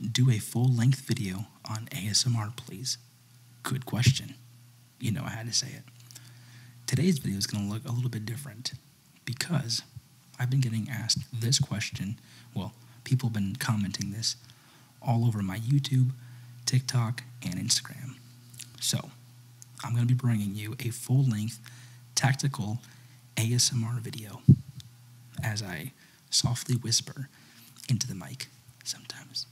Do a full length video on ASMR, please. Good question. You know, I had to say it. Today's video is going to look a little bit different because I've been getting asked this question. Well, people have been commenting this all over my YouTube, TikTok, and Instagram. So, I'm going to be bringing you a full length tactical ASMR video as I softly whisper into the mic. Sometimes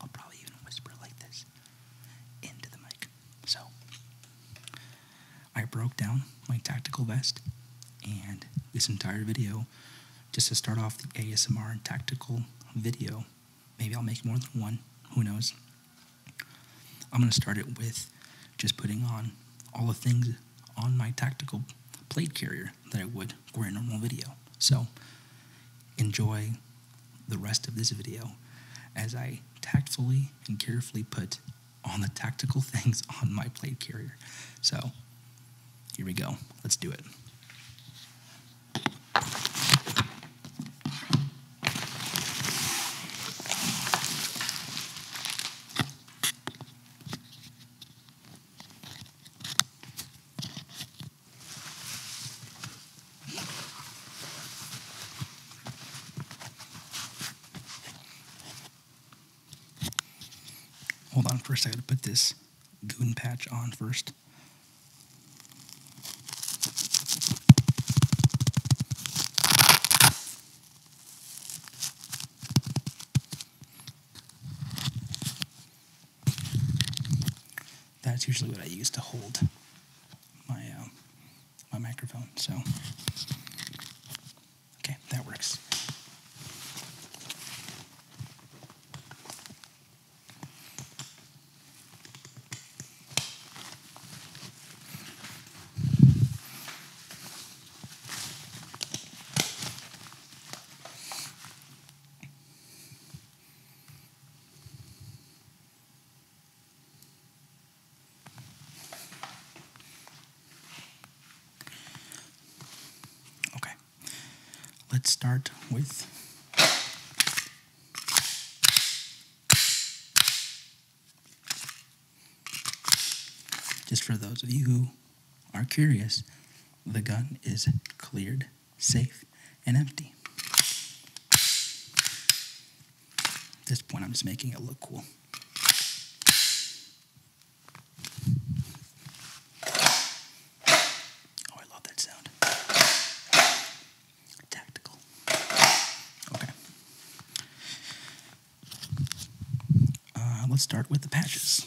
I'll probably even whisper like this into the mic. So I broke down my tactical vest, and this entire video, just to start off the ASMR and tactical video, maybe I'll make more than one, who knows. I'm going to start it with just putting on all the things on my tactical plate carrier that I it would for a normal video. So enjoy the rest of this video as I tactfully and carefully put on the tactical things on my plate carrier. So here we go. Let's do it. Hold on first, I gotta put this goon patch on first. That's usually what I use to hold my uh, my microphone. So okay, that works. Okay, let's start with. Just for those of you who are curious, the gun is cleared, safe, and empty. At this point, I'm just making it look cool. Oh, I love that sound. Tactical. Okay. Uh, let's start with the patches.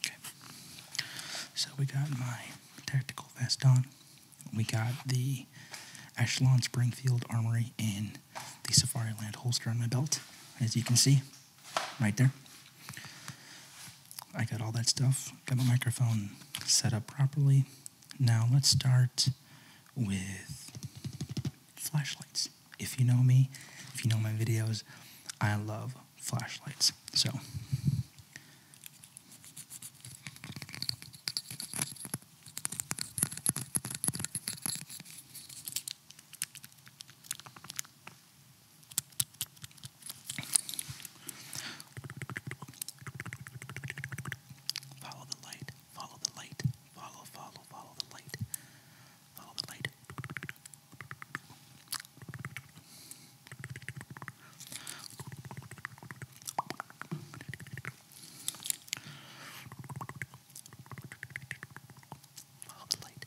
Okay. So we got my tactical vest on. We got the Ashland Springfield Armory and the Safari Land holster on my belt, as you can see right there. I got all that stuff, got my microphone set up properly. Now let's start with flashlights. If you know me, if you know my videos, I love flashlights. So Follow the light. Follow the light. Follow, follow, follow the light. Follow the light. Follow the light. Follow the light.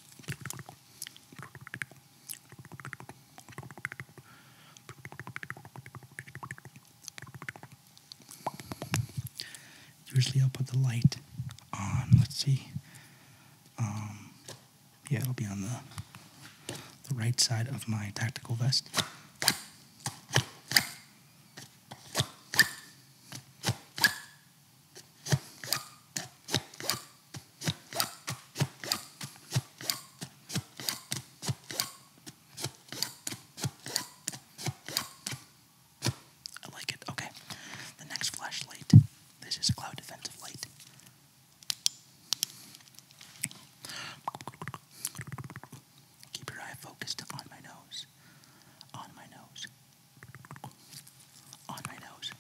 Usually I'll put the light on. Let's see. Um, yeah, it'll be on the the right side of my tactical vest. I like it. Okay. The next flashlight. This is a cloud defensive light. Keep your eye focused on my nose. On my nose on my nose.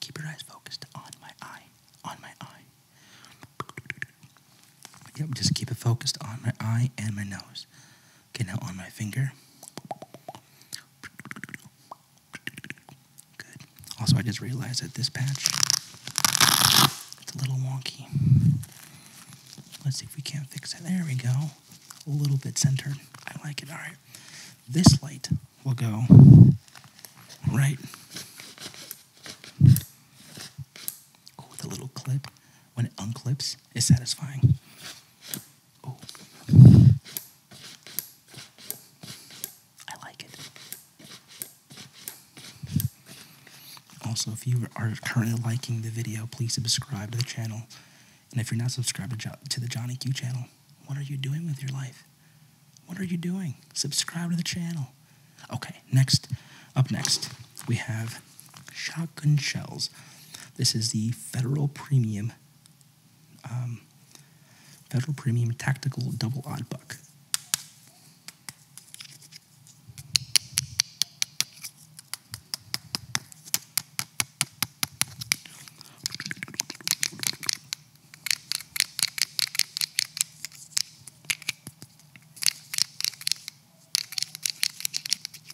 Keep your eyes focused on my eye. On my eye. Yep, just keep it focused on my eye and my nose. Okay, now on my finger. Good. Also, I just realized that this patch it's a little wonky. Let's see if we can't fix it. There we go. A little bit centered. I like it. All right. This light will go right with a little clip. When it unclips, it's satisfying. I like it. Also, if you are currently liking the video, please subscribe to the channel. And if you're not subscribed to, the Johnny Q channel, what are you doing with your life? What are you doing? Subscribe to the channel. Okay, next, up next, we have shotgun shells. This is the Federal Premium, um, Federal Premium Tactical Double Odd Buck.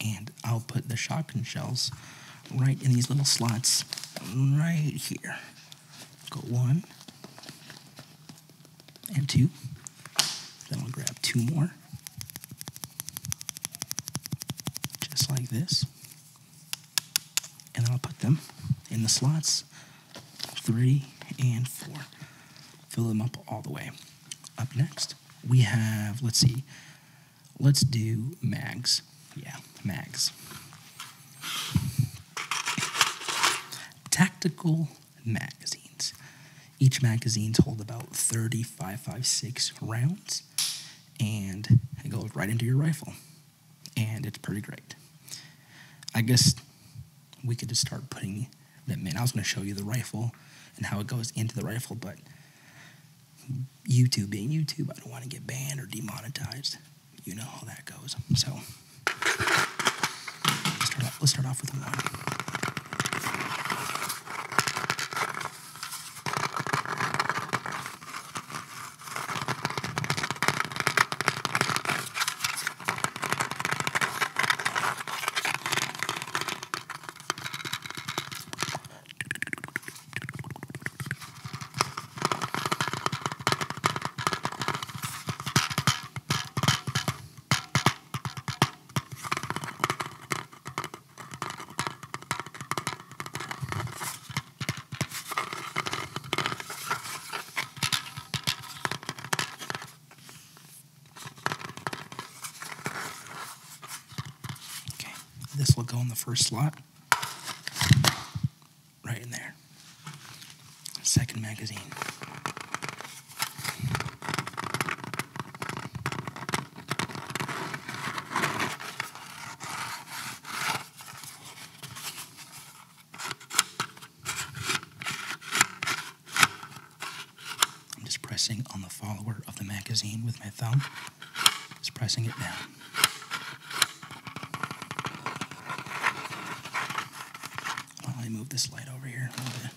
And I'll put the shotgun shells right in these little slots right here. Go one, and two. Then I'll grab two more. Just like this. And then I'll put them in the slots three and four. Fill them up all the way. Up next, we have, let's see, let's do mags. Yeah, mags. Tactical magazines. Each magazine's hold about 3556 rounds, and it goes right into your rifle, and it's pretty great. I guess we could just start putting that. in. I was going to show you the rifle and how it goes into the rifle, but YouTube being YouTube, I don't want to get banned or demonetized. You know how that goes. So Let's start off, let's start off with a one. Okay, this will go in the first slot. Right in there second magazine. I'm just pressing on the follower of the magazine with my thumb, just pressing it down let me move this light over here a little bit.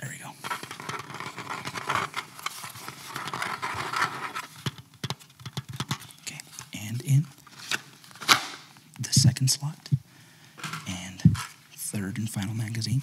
There we go. Okay, and in the second slot and third and final magazine.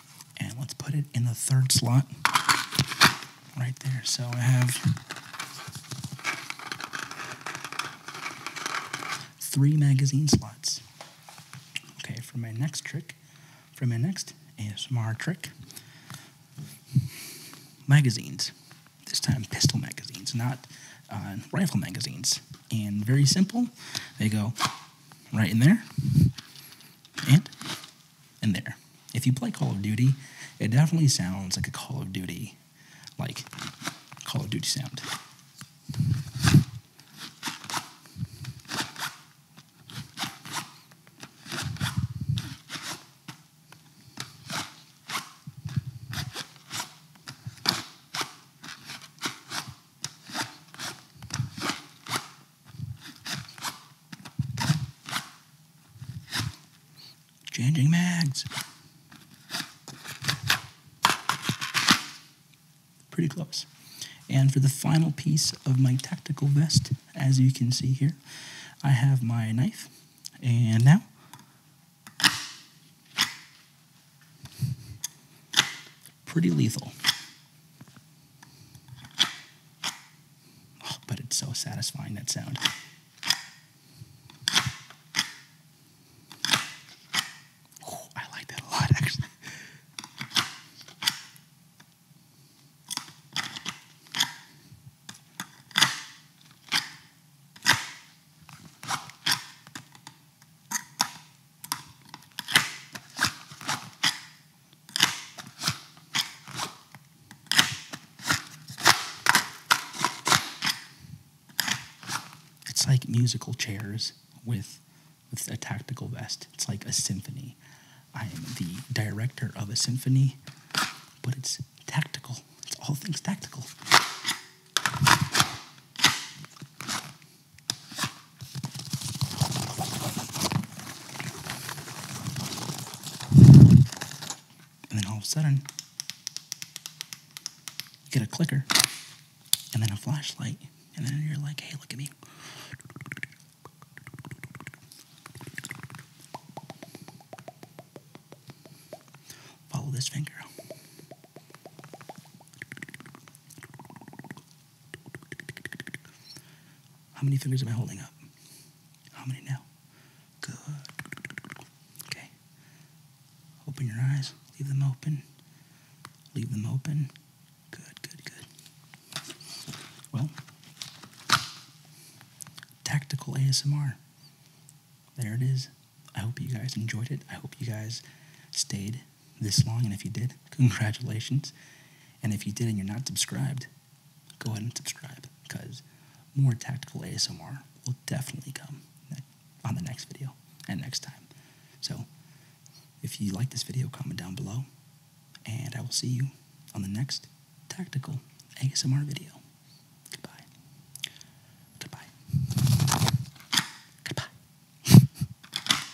and let's put it in the third slot right there. So I have three magazine slots. Okay, for my next trick, for my next ASMR trick, magazines. This time, pistol magazines, not uh, rifle magazines. And very simple, they go right in there, and and there. If you play Call of Duty, it definitely sounds like a Call of Duty, like Call of Duty sound. Changing mags. Pretty close. And for the final piece of my tactical vest, as you can see here, I have my knife. And now pretty lethal. Oh, but it's so satisfying that sound. I like that a lot actually. It's like musical chairs with, with a tactical vest. It's like a symphony. I am the director of a symphony, but it's tactical. It's all things tactical. And then all of a sudden, you get a clicker and then a flashlight, and then you're like, hey, look at me. Follow this finger. How many fingers am I holding up? How many now? Good. Okay. Open your eyes. Leave them open. Leave them open. Good, good, good. Well, tactical ASMR. There it is. I hope you guys enjoyed it. I hope you guys stayed this long, and if you did, congratulations. And if you did and you're not subscribed, go ahead and subscribe because more tactical ASMR will definitely come on the next video and next time. So if you like this video, comment down below, and I will see you on the next tactical ASMR video. Goodbye. Goodbye. Goodbye.